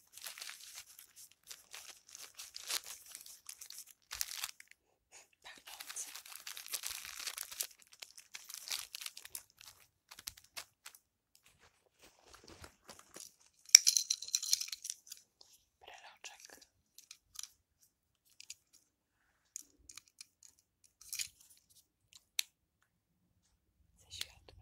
Pachnący. Breloczek. Ze światłem.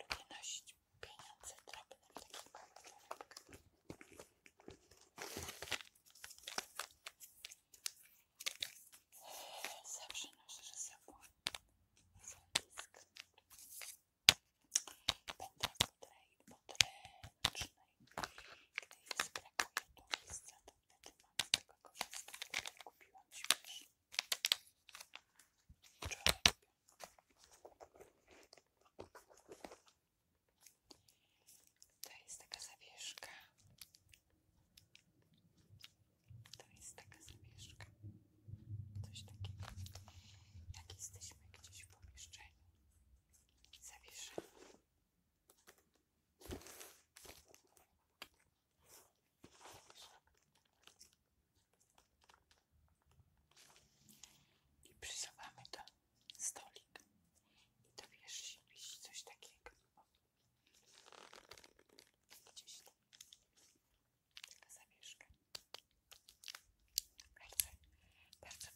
Lubię nosić pieniądze drobne w takich papiorach. Zawsze noszę ze sobą złotysk. Będę w podręcznej, gdy jest brakuje do miejsca do czy mam tego korzystać, które kupiłam śmiesz. To jest taka zawieszka. To jest taka zawieszka. Coś takiego. Jak jesteśmy gdzieś w pomieszczeniu. Zawieszamy. I przysuwamy do stolik i do wierzchu wisi coś takiego. Gdzieś tam. Taka zawieszka. Bardzo, bardzo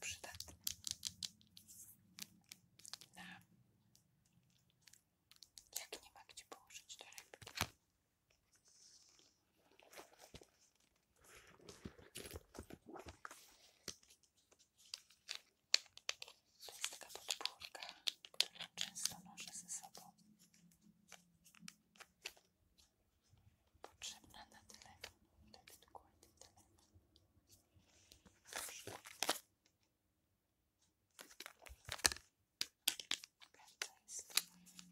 jak nie ma gdzie położyć torebki. To jest taka podpórka, często noszę ze sobą. Potrzebna na telefon. To jest dokładnie Prawda jest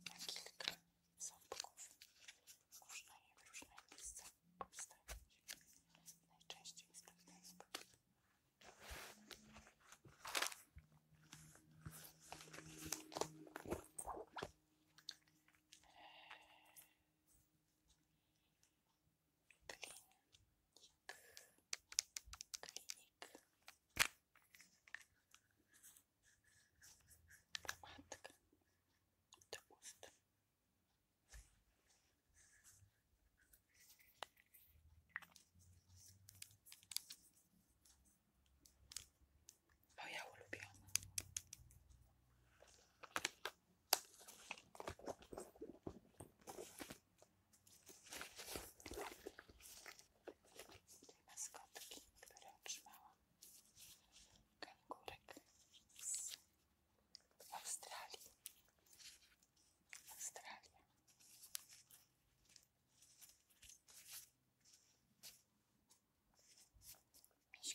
na kilka ząbków. Można je w różne miejsca postawić. Najczęściej jest tak ten sposób. Klinik. Klinik. Matka. Do ust. Moja ulubiona. Tutaj maskotki, które otrzymałam. Kangurek z Australii. Australia. Miś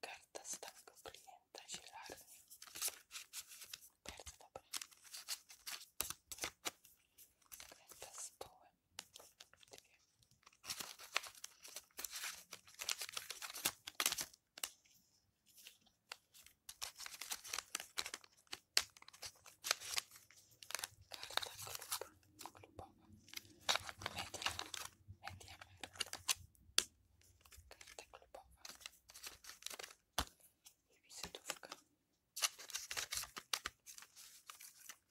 Karta stałego klienta zielarni. Bardzo dobra. Karta z połem. Karta klub, klubowa. Media, media Karta klubowa. I wizytówka. Wszystko się mieści w takim pudełeczku.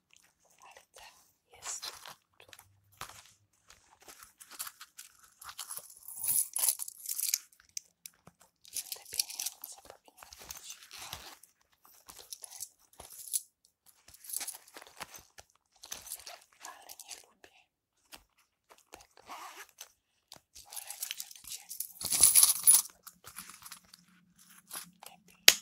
serce jest tu. Te pieniądze powinny być tutaj. Ale nie lubię tego. Wolę nie gdzie. Lepiej.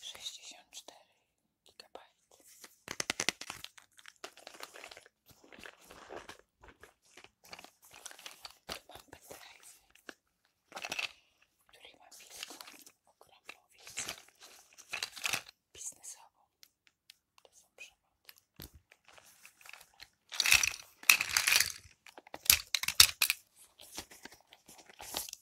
64 GB. Tu mam pendrive, który ma wielką, ogromną wiedzę biznesową. To są przewody.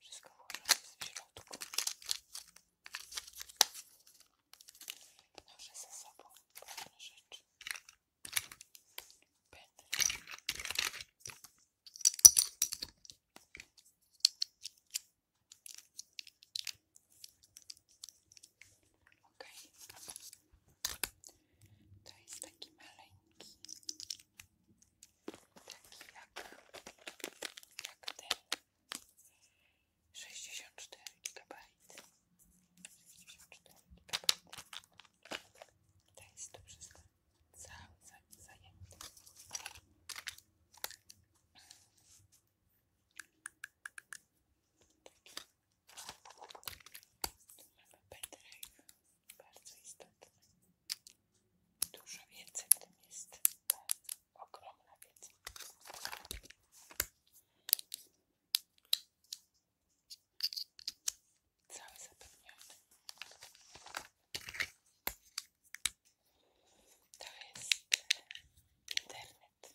Wszystko ułożone jest w środku. Noszę ze sobą pewne rzeczy. Pędzel. Ok. To jest taki maleńki. Taki jak, jak ten. 64 GB. 64 GB. To jest to wszystko cały, cały zajęty. Mamy pendrive, bardzo istotny. Dużo wiedzy w tym jest, bardzo ogromna wiedza. Cały zapewniony. To jest internet.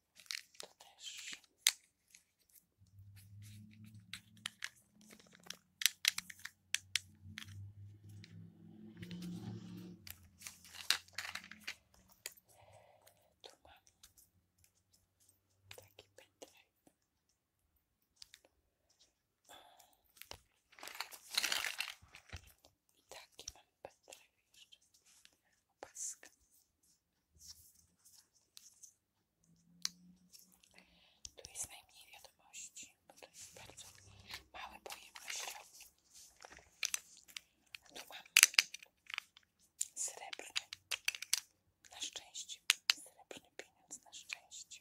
To też. Tu mam taki pędzel. I taki mam pędzel jeszcze. Opaska. Tu jest najmniej wiadomości, bo to jest bardzo mały pojemnościowy. Tu mam srebrny, na szczęście, srebrny pieniądz na szczęście.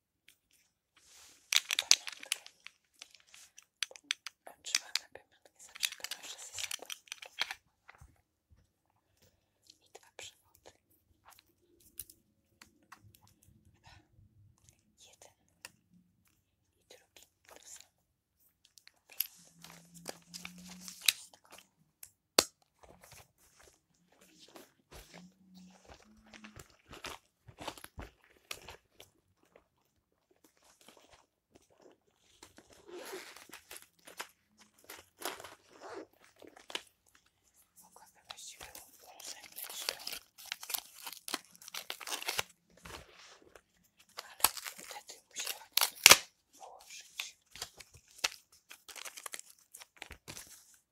Pamiątkę. Otrzymamy pamiątki zawsze kojarzę ze sobą. I dwa przewody. Dwa. Jeden. I drugi. To samo. Wszystko. Mogłaby właściwie ułożyć ale wtedy musiała położyć.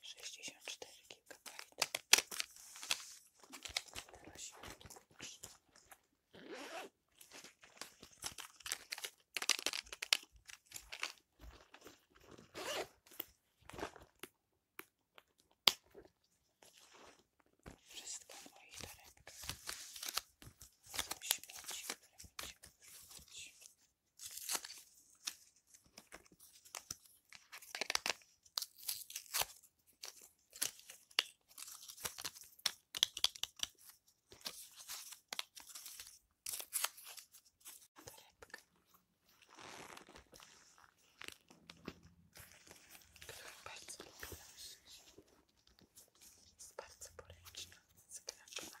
Sześćdziesiąt 64 GB. się wszystko moich torebkach są śmieci, która bardzo lubię nosić. Jest bardzo poręczna, zgrabna.